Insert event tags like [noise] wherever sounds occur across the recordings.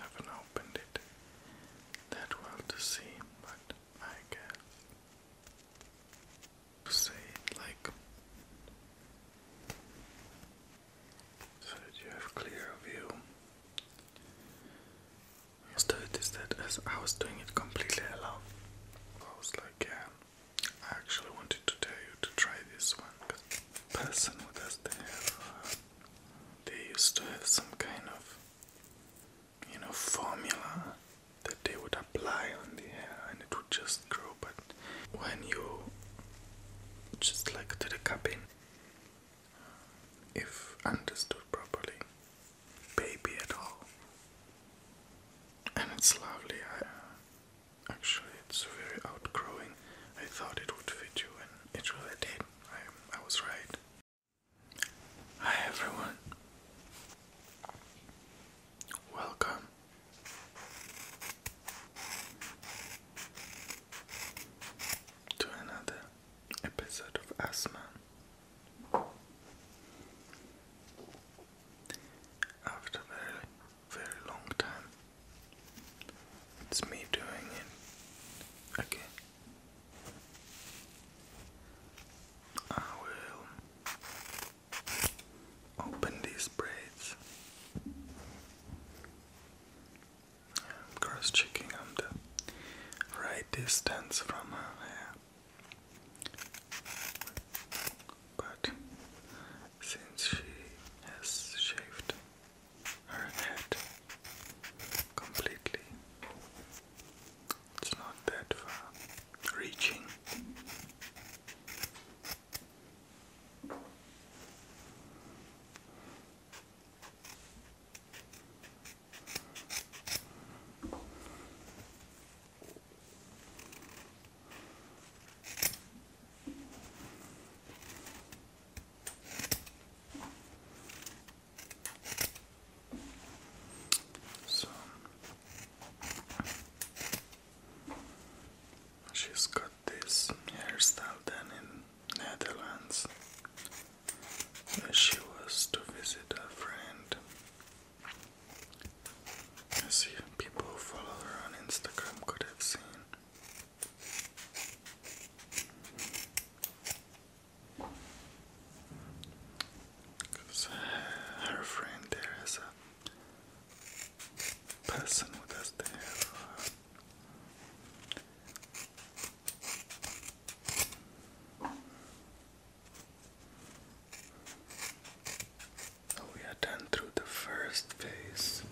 haven't opened it that well to see, but I guess say it like so that you have clear view. Just noticed that as I was doing it completely alone, I was like, yeah, I actually wanted to tell you to try this one. Person who doesn't have they used to have some kind of, you know, formula that they would apply on the hair and it would just grow. But when you just like to the in, if understood properly, baby at all, and it's lovely. actually, it's very outgrowing. I thought it would fit you, and it really did. I, I was right. Hi everyone. Welcome. To another episode of Asthma. After a very, very long time, it's me doing it. Okay. I will open these braids. I'm cross checking the right distance from her hair. But since she has shaved her head completely. It's not that far reaching. So she's got this hairstyle then in Netherlands. She was to visit a friend. As even people who follow her on Instagram could have seen because her friend there is a person with us. There, So oh, we are done through the first phase.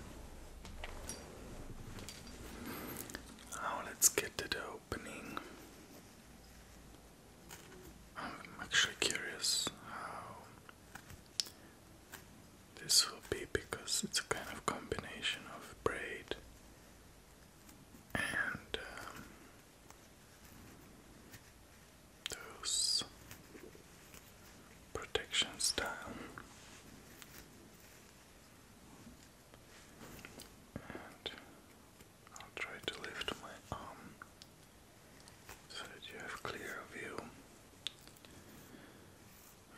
Now let's get to the opening. I'm actually curious how this will be because it's a kind of combination of braid and um, those protection style I'll try to lift my arm so that you have clear view.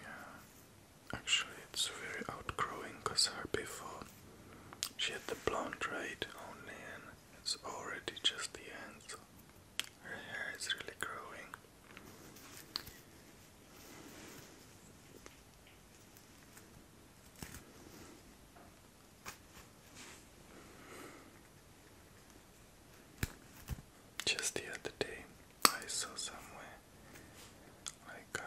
Yeah, actually it's very outgrowing because her before she had the blonde right only and it's already just the end. So her hair is really growing. Just the other day, I saw somewhere like um,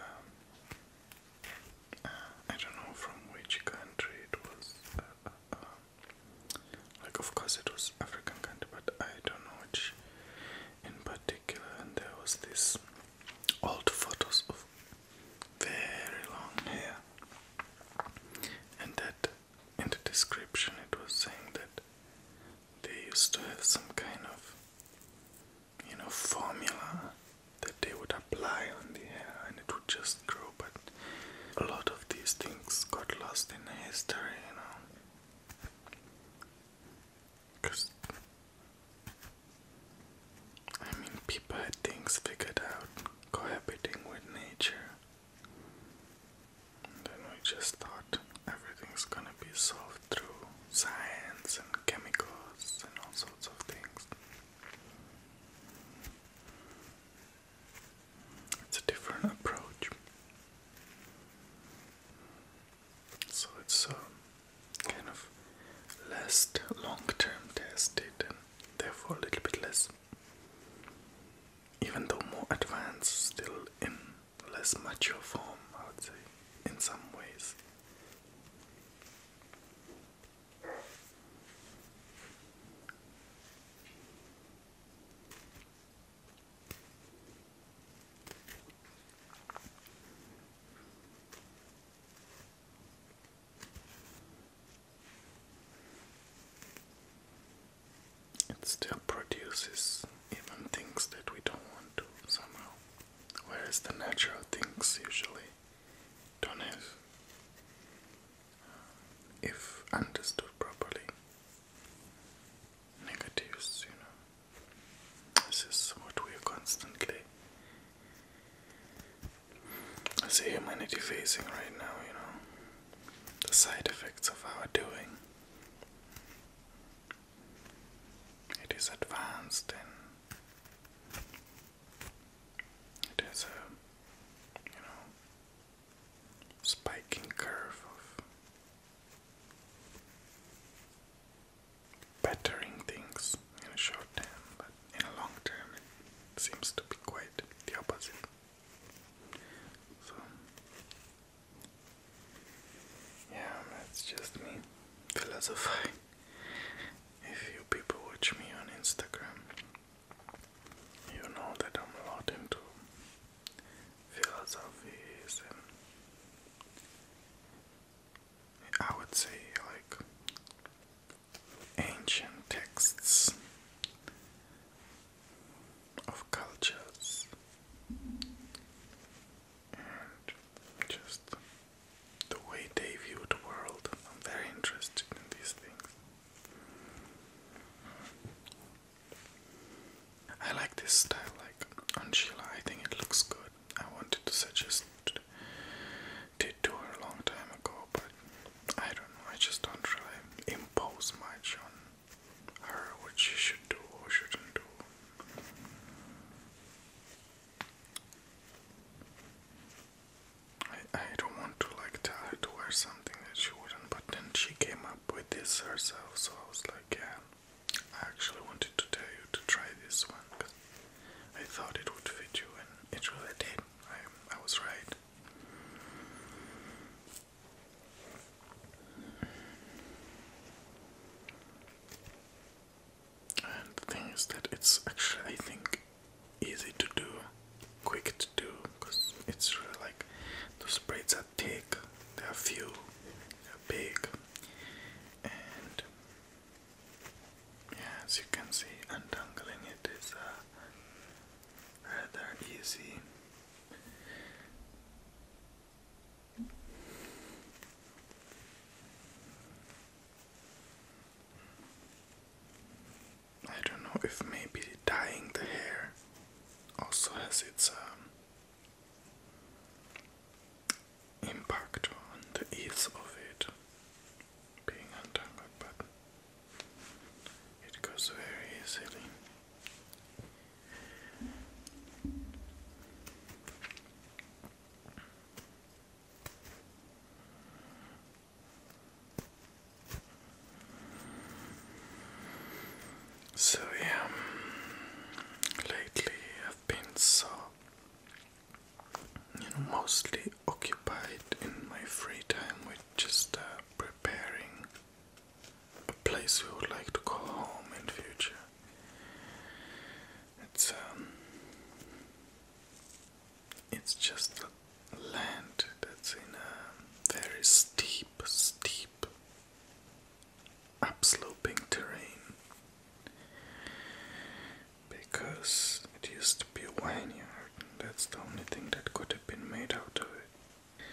I don't know from which country it was. Uh, uh, um, like, of course, it was African country, but I don't know which in particular and there was this old photos of very long hair and that in the description it was saying that they used to have some kind of you know formula that they would apply on the hair and it would just grow but a lot of these things got lost in history you know Cause I mean, people had things figured out, cohabiting with nature. then we just thought everything's gonna be solved through science and chemicals and all sorts of things. It's a different approach. So it's um, kind of last, long-term tested and therefore a little bit less, even though more advanced, still in less mature form, I would say, in some ways. It still produces even things that we don't want to somehow, whereas the natural things usually don't have, uh, if understood properly, negatives, you know. This is what we are constantly. I see humanity facing right now, you know, the side effects of our doing. It is advanced and it is a, you know, spiking curve of bettering things in a short term, but in a long term it seems to be quite the opposite. So, yeah, that's just me philosophizing. If you people watch me on Instagram, you know that I'm a lot into philosophies and I would say like ancient texts of cultures and just the way they view the world. I'm very interested in these things. I like this style, like on Sheila. I think it looks good. I wanted to suggest it to her a long time ago, but I don't know. I just don't really impose much on her what she should do or shouldn't do. I, I don't want to like tell her to wear something that she wouldn't, but then she came up with this herself, so I was like, yeah, I actually wanted to tell you to try this one because I thought it would fit you, and it really did. I, I was right. And the thing is that it's actually, I think, easy to do, quick to do, because it's really like those braids are thick, they are few, they are big and yeah, as you can see, untangling it is uh, rather easy. I don't know if maybe dyeing the hair also has its um, impact on the ease of it being untangled, but it goes very easily. So, yeah, lately I've been so, you know, mostly occupied in my free time with just uh, preparing a place we would like to call home in future. It's um, it's just a land that's in a very steep, steep upsloping terrain because it used to be a vineyard that's the only thing that could have been made out of it.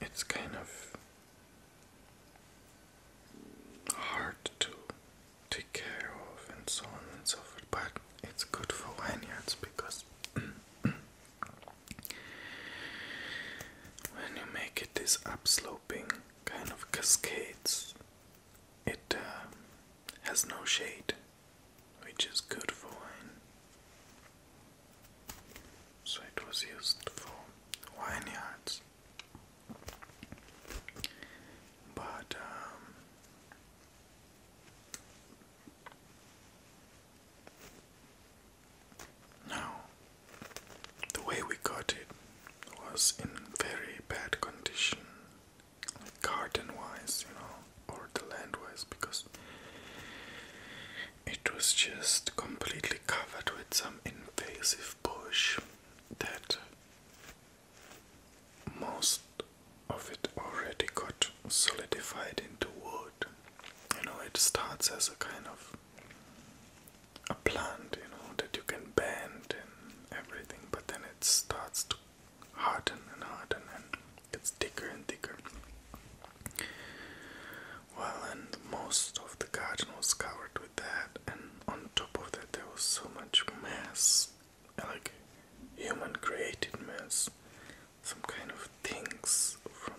It's kind of hard to take care of and so on and so forth, but it's good for vineyards because [clears throat] when you make it this upslope sloping kind of cascades. It uh, has no shade, which is good for wine. So it was used for vineyards. But um, now, the way we got it was in very bad condition, garden wise, you know, or the land wise, because it was just completely covered with some invasive bush that most of it already got solidified into wood. You know, it starts as a kind of a plant, you know, that you can bend and everything, but then it starts to harden and harden and gets thicker and thicker. Well, and most of the garden was covered with that, and on top of that, there was so much mess like human created mess, some kind of things from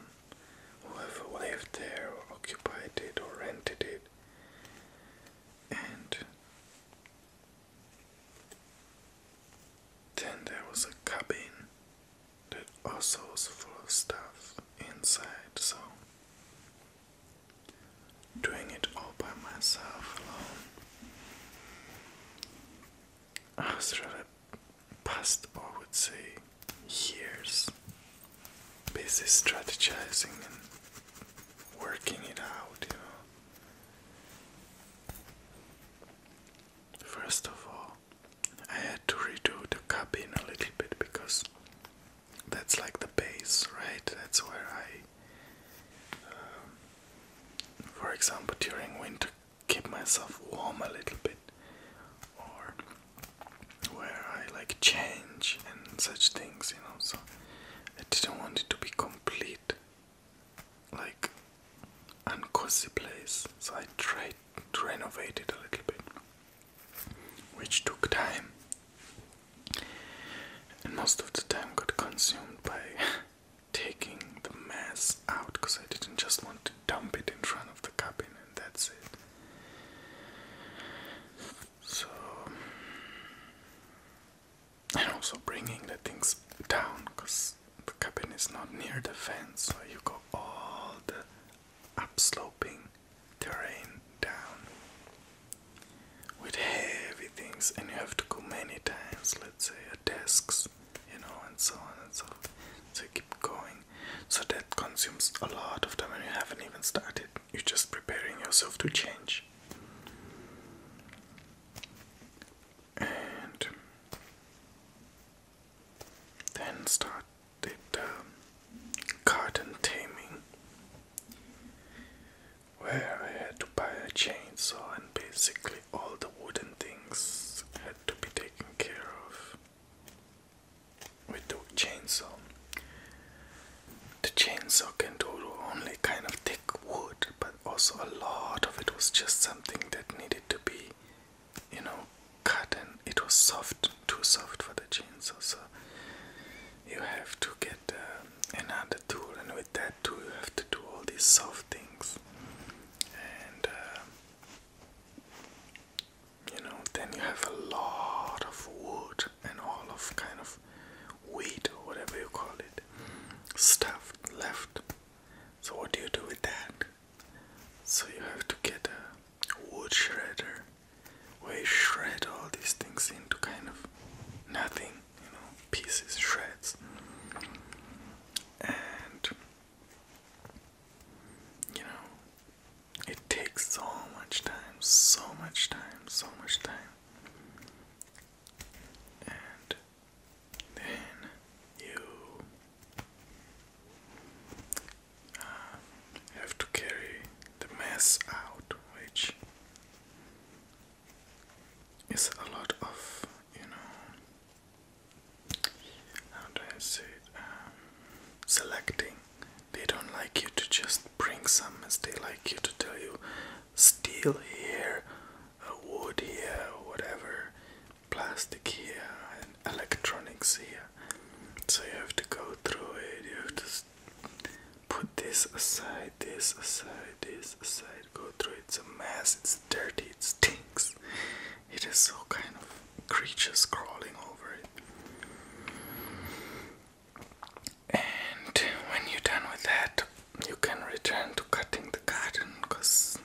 whoever lived there occupied it or rented it. And then there was a cabin that also was full of stuff inside, so doing it all by myself alone. I was rather past, I would say, years busy strategizing and working it out, you know. First of all, I had to redo the cabin a little bit because that's like the base, right? That's where I, um, for example, during winter, keep myself warm a little bit, or where I like change and such things, you know. So I didn't want it to be complete, like uncozy place. So I tried to renovate it a little bit, which took time, and most of the time got consumed by [laughs] taking the mess out because I didn't just want to dump it in front of the cabin and that's it. So, and also bringing the things down because the cabin is not near the fence, so you go all the upsloping terrain down with heavy things, and you have to go many times, let's say, at desks, you know, and so on and so forth. So keep going so that consumes a lot of time and you haven't even started. You're just preparing yourself to change. And then started um, garden taming, where I had to buy a chainsaw, and basically all the wooden things had to be taken care of with the chainsaw. The chainsaw can do only kind of thick wood, but also a lot of it was just something that needed to be, you know, cut and it was soft, too soft for the chainsaw. So you have to get uh, another tool, and with that tool, you have to do all these soft things. Uh, you know, then you have a lot of wood and all of kind of wheat or whatever you call it stuff left. So what do you do with that? So you have to get a wood shredder where you shred all these things into kind of nothing, you know, pieces, shreds. And you know, it takes so much time, so much time, so much time. And then you uh, have to carry the mess out, which is a lot of, you know, how do I say um, selecting they don't like you to just bring some they like you to tell you steel here, uh, wood here, whatever, plastic here, and electronics here. So you have to go through it, you have to put this aside, this aside, this aside, go through It's a mess, it's dirty, it stinks. It is so kind of creatures crawling over it. And when you're done with that, you can return to cutting the garden because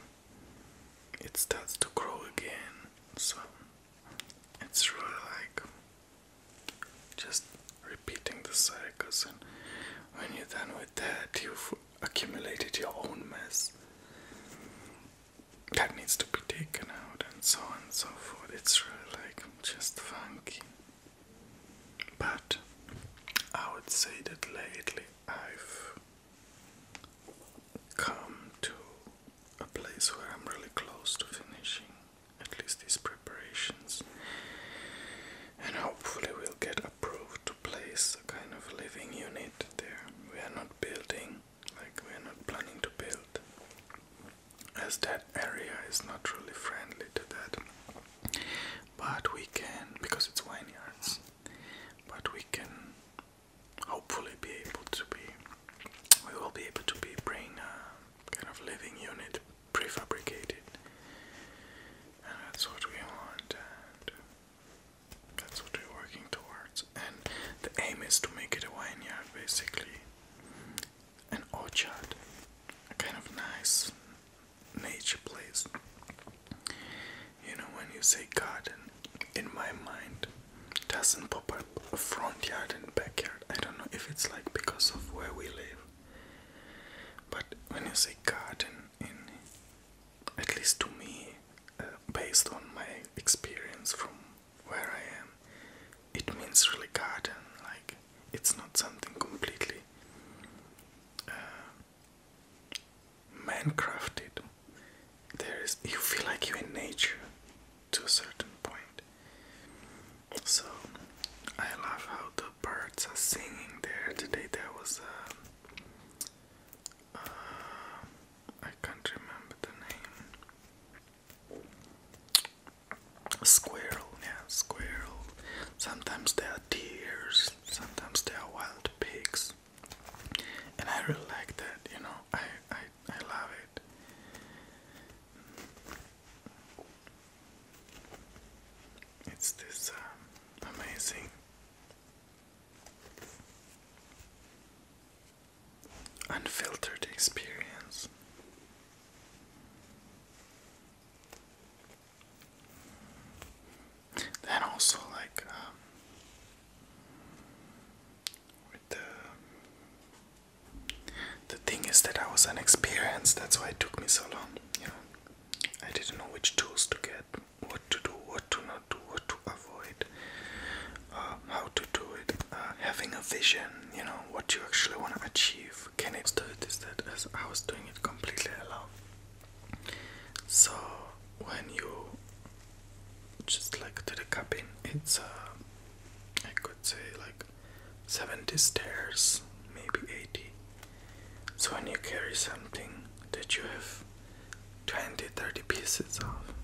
it starts to grow again. So it's really like just repeating the cycles, and when you're done with that, you've accumulated your own mess that needs to be taken out and so on and so forth. It's really like just funky. But I would say that lately I've come to a place where I'm really close to finishing at least these preparations, and hopefully, we'll get approved to place a kind of living unit there. We are not building like we're not planning to build as that area is not really friendly to that but we can because it's vineyards but we can hopefully be able to be we will be able to be bring a kind of living unit prefabricated and that's what we want and that's what we're working towards and the aim is to make it a vineyard basically an orchard, a kind of nice nature place. You know, when you say garden, in my mind, doesn't pop up a front yard and backyard. I don't know if it's like because of where we live, but when you say garden, in at least to me, uh, based on my experience from where I am, it means really garden. Like it's not something completely uh, is you feel like you're in nature to a certain point. So I love how the birds are singing there. Today there was a. Uh, uh, can't remember the name. Squirrel, yeah, squirrel. Sometimes there are deers, sometimes there are wild pigs. And I really like that, you know, I, I, I love it. It's this um, amazing unfiltered experience. And also like um, with the the thing is that I was inexperienced. That's why it took me so long. You know, I didn't know which tools to get, what to do, what to not do, what to uh, how to do it, uh, having a vision, you know, what you actually want to achieve. Can it do this? That as I was doing it completely alone. So when you just like to the cabin, it's uh, I could say like 70 stairs, maybe 80. So when you carry something that you have 20 30 pieces of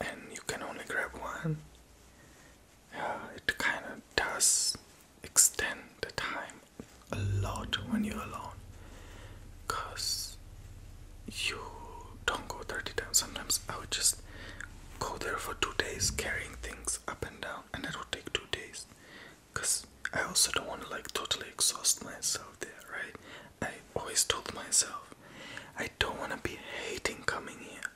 and you can only grab one, uh, it kind of does extend the time a lot when you're alone because you don't go 30 times. Sometimes I would just go there for two days carrying things up and down, and it would take two days because I also don't want to like totally exhaust myself there, right? I always told myself, I don't want to be hating coming here.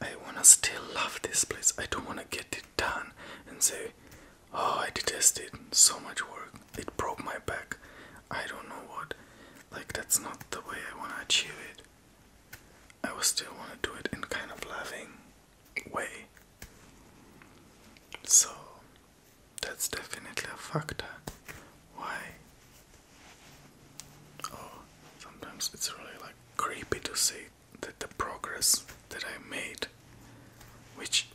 I want to still love this place. I don't want to get it done and say, oh, I detest it. So much work. It broke my back. I don't know what. Like, that's not the way I want to achieve it. I will still want to do it in kind of loving way. So that's definitely a factor. Why? Oh, sometimes it's really like creepy to see that the progress that I made, which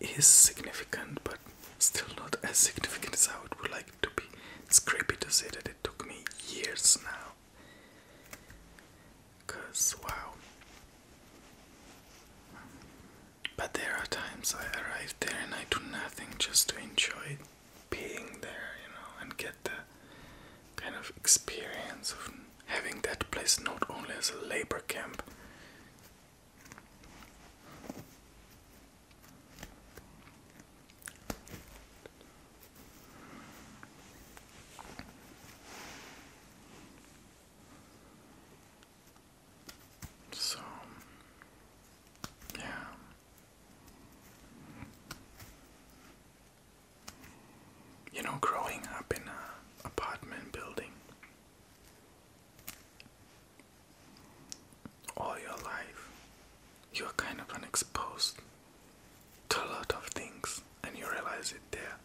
is significant but still not as significant as I would like to be. It's creepy to say that it took me years now. Cause wow. But there are times I arrive there and I do nothing just to enjoy being there, you know, and get the kind of experience of having that place not only as a labor camp. So, yeah. You know, growing up in an apartment building all your life, you're kind of unexposed to a lot of things, and you realize it there.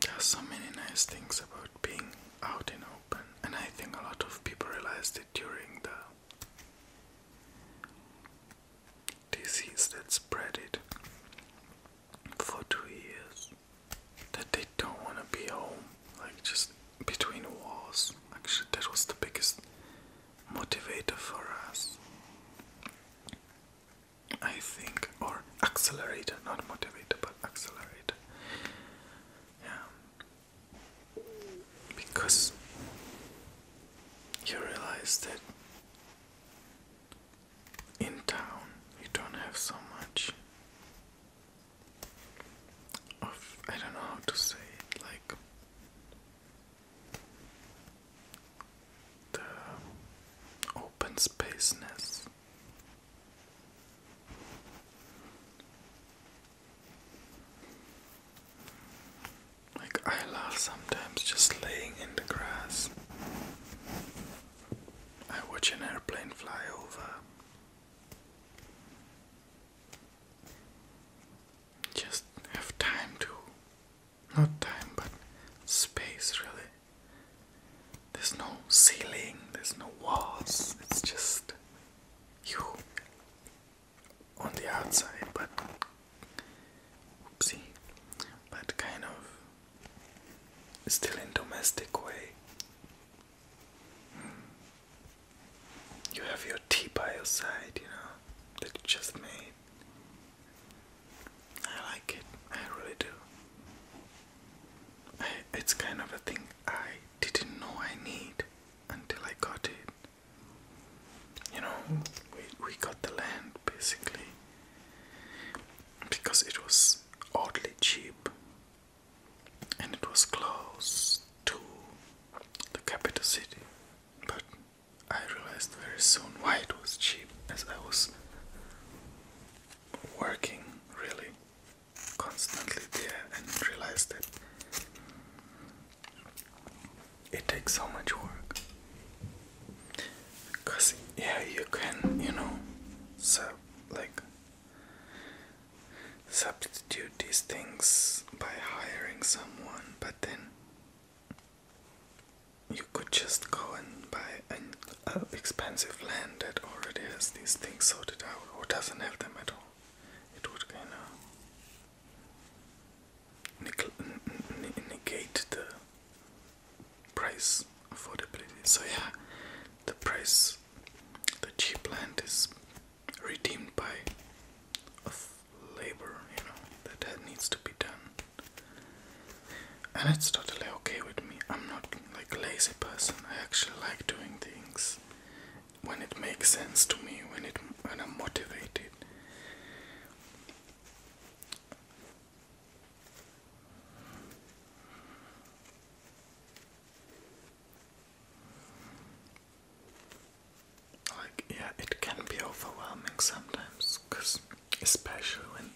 There are so many nice things about being out in open, and I think a lot of people realized it during the disease that spread it for two years. That they don't want to be home, like just between walls. Actually, that was the biggest motivator for us. I think, or accelerate, not motivate, but accelerate. Yeah. Because you realize that in town you don't have so much of, I don't know how to say like the open spaceness. Like, I love sometimes just laying in the grass. I watch an airplane fly over. Just have time to not time but space really there's no ceiling there's no walls it's just you on the outside but oopsie but kind of still in domestic way you have your tea by your side you know that you just made I like it. I really do. it's kind of a thing I didn't know I need until I got it. You know, we, we got the land basically because it was oddly cheap and it was close to the capital city. But I realized very soon why it was cheap as I was working really constantly there and realize that it takes so much work because yeah you can you know sub like substitute these things by hiring someone but then you could just go and buy an uh, expensive land that already has these things sorted out or doesn't have them at all. It would kind of negate the price affordability. So, yeah, the price, the cheap land is redeemed by of labor, you know, that needs to be done and it's totally okay with me. I'm not like a lazy person. I actually like doing things when it makes sense to me, when it when I'm motivated. Like yeah, it can be overwhelming sometimes because especially when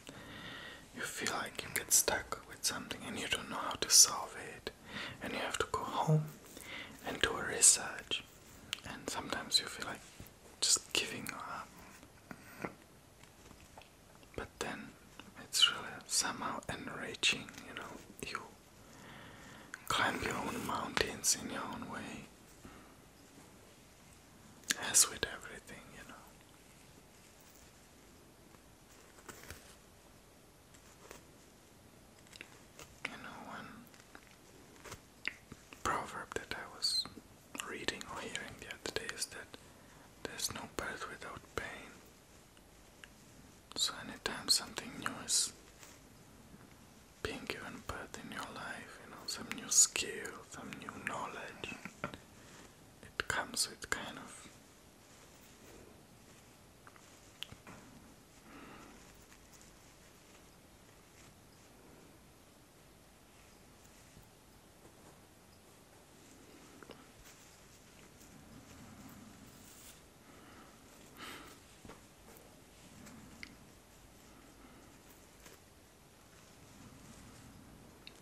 you feel like you get stuck with something and you don't know how to solve it, and you have to go home and do a research, and sometimes you feel like just giving up. But then it's really somehow enriching, you know. You climb your own mountains in your own way, as with everything, you know. You know, one proverb that I was reading or hearing the other day is that there's no birth without pain. So, anytime something new is being given birth in your life, you know, some new skill, some new knowledge, it comes with kind of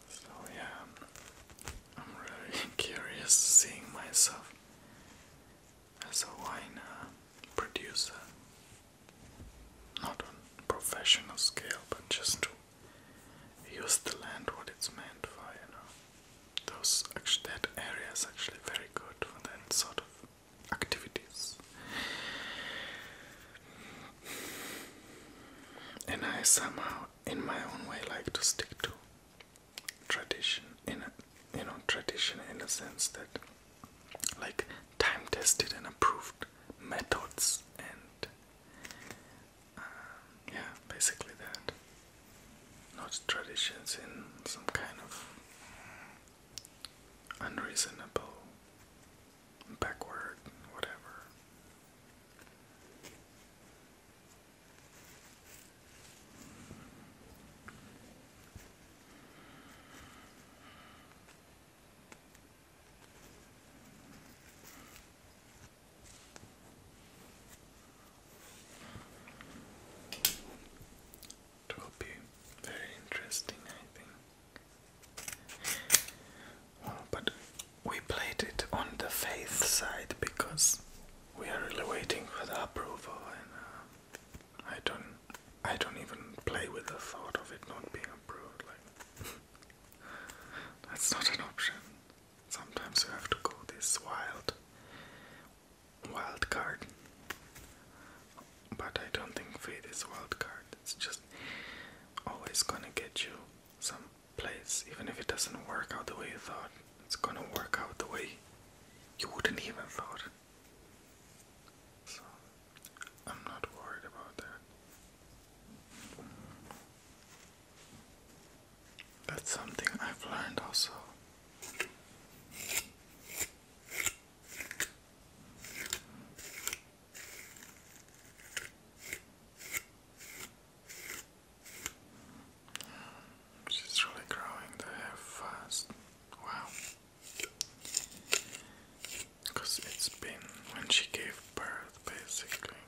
so yeah, I'm really [laughs] curious seeing myself as a wine uh, producer, not on professional scale, but just to use the land what it's meant for, you know. Those actually, that area is actually very good for that sort of activities and I somehow, in my own way, like to stick to tradition in a you know tradition in a sense that like time tested and approved methods and uh, yeah basically that not traditions in some kind of unreasonable backward, whatever. It will be very interesting, I think. But we played it on the faith side because we are really waiting for the approval, and uh, I don't, I don't even play with the thought of it not being approved. Like [laughs] that's not an option. Sometimes you have to go this wild, wild card. But I don't think Faith is wild card. It's just always gonna get you some place, even if it doesn't work out the way you thought. It's gonna work out the way you wouldn't even thought. So I'm not worried about that. That's something I've learned also. She's really growing the hair fast. Wow. Because it's been when she gave birth, basically.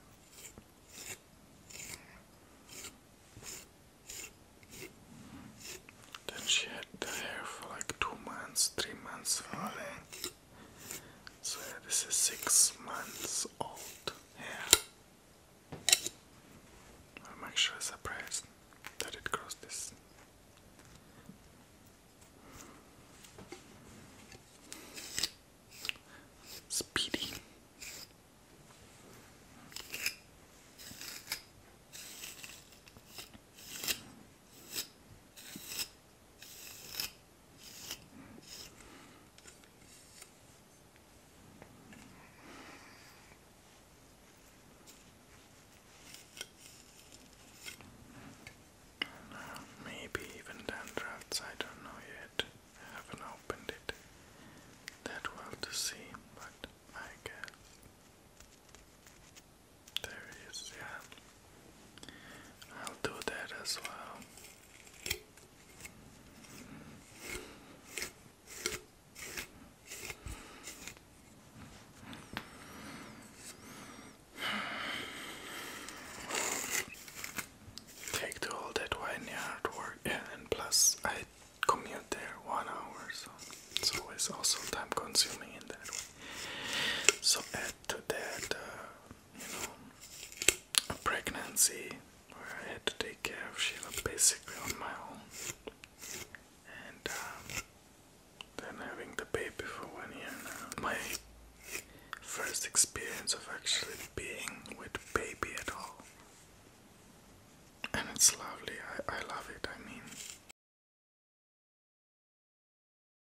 Then she had the hair for like two months, three months, falling. So this is six months old Yeah, I'm actually surprised that it crossed this. Speedy. And, uh, maybe even downdrafts, I don't know yet. haven't opened it that well to see, but I guess. There yeah. I'll do that as well. Take to all that wine work, yeah, and plus I commute there one hour, so it's always also time consuming in that way. So add to that uh, you know, a pregnancy where I had to take care of Sheila basically on my own. And um, then having the baby for one year now. My first experience of actually being with baby at all. And it's lovely. I, I love it. I mean,